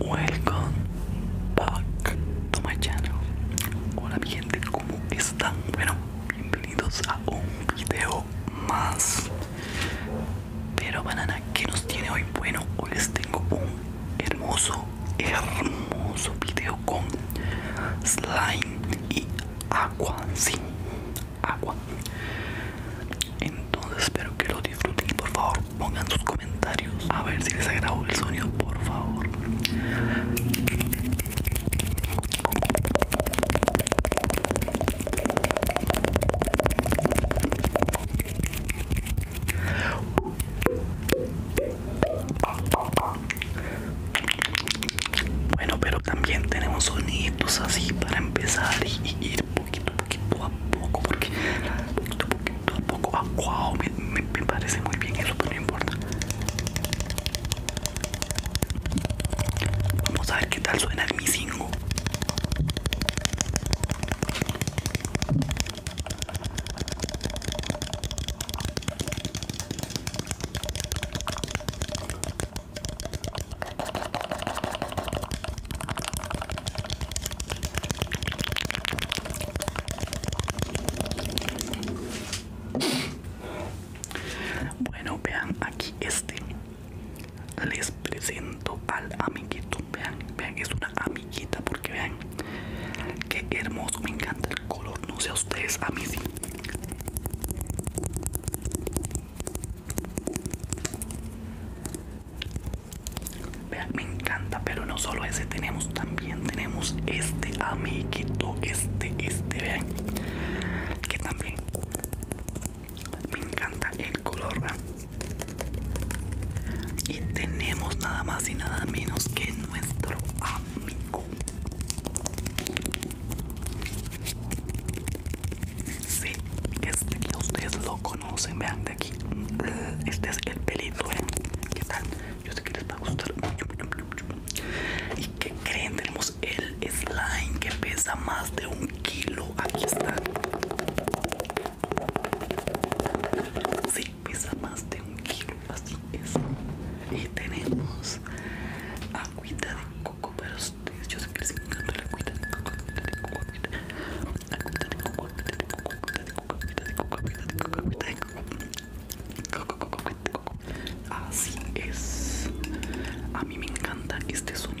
Welcome back to my channel. Hola mi gente, ¿cómo están? Bueno, bienvenidos a un video más. Pero banana, ¿qué nos tiene hoy? Bueno, hoy les tengo un hermoso, hermoso video con slime y agua. Sí, agua. Entonces espero que lo disfruten por favor pongan sus comentarios a ver si les agradó el sonido, por favor. Bueno, pero también tenemos sonidos así para empezar y ir un poquito a poco, porque poquito, poquito a poco, me, me, me parece muy bien eso, pero no importa. Vamos a ver qué tal suena Mi 5. Bueno, vean aquí este. Les presento al amiguito. Vean, vean, es una amiguita porque vean. Qué hermoso, me encanta el color. No sé a ustedes, a mí sí. Vean, me encanta, pero no solo ese tenemos, también tenemos este amiguito, este, este, vean, que también me encanta el color, Y tenemos nada más y nada menos que nuestro amigo. Sí, este que ustedes lo conocen se vean de aquí. Este es el pelito, ¿eh? ¿Qué tal? Yo sé que les va a gustar. mucho ¿Y qué creen? Tenemos el slime que pesa más de un kilo. Aquí está. Sí, pesa más de un kilo. Así es. Y tenemos agüita de coco pero ustedes. Yo sé que les encanta la agüita agüita de coco. Así es. A mí me encanta este sonido.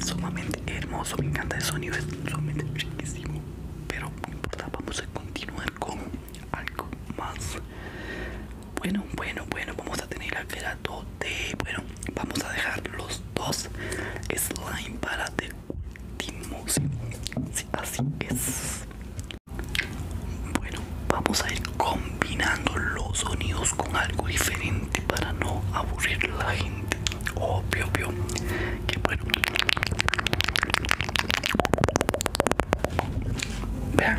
Sumamente hermoso, me encanta el sonido, es sumamente riquísimo. Pero no importa, vamos a continuar con algo más. Bueno, bueno, bueno, vamos a tener al 2 de. Bueno, vamos a dejar los dos slime para así es. Bueno, vamos a ir combinando los sonidos con algo diferente para no aburrir a la gente. Obvio, obvio. Que bueno. Vean.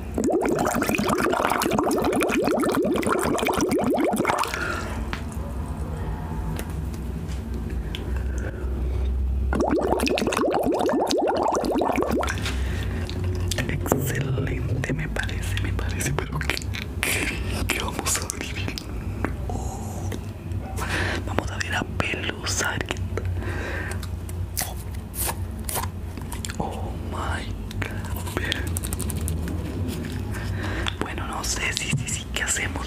Excelente, me parece, me parece, pero qué qué vamos a vivir. Vamos a ver a Pelusa. Oh my God. Bueno, no sé si, sí, si, si, sí, ¿qué hacemos?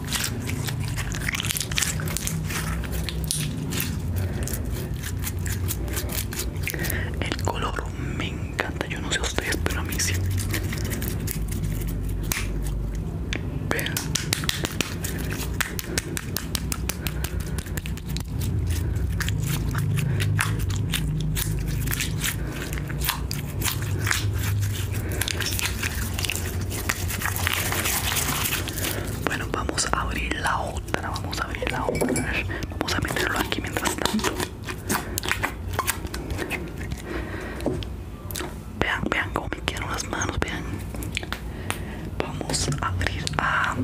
El color me encanta, yo no sé ustedes, pero a mí sí. Bueno, vamos a abrir la otra, vamos a abrir la otra. Vamos a meterlo aquí mientras tanto. Vean, vean cómo me quedaron las manos, vean. Vamos a abrir a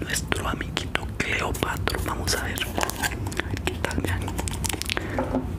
nuestro amiguito Cleopatra Vamos a ver qué tal, vean.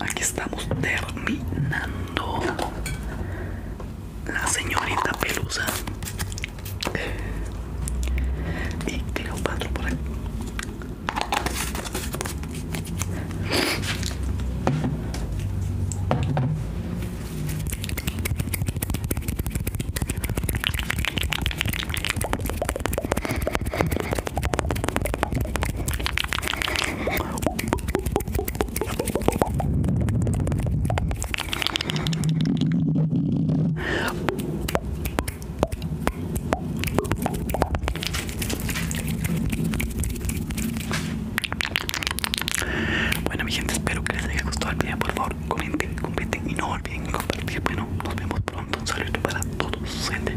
aquí estamos terminando. La señorita Pelusa. Y Cleopatra por aquí. Bueno mi gente, espero que les haya gustado el video, por favor comenten, comenten y no olviden compartir. Bueno, nos vemos pronto, un saludo para todos, gente.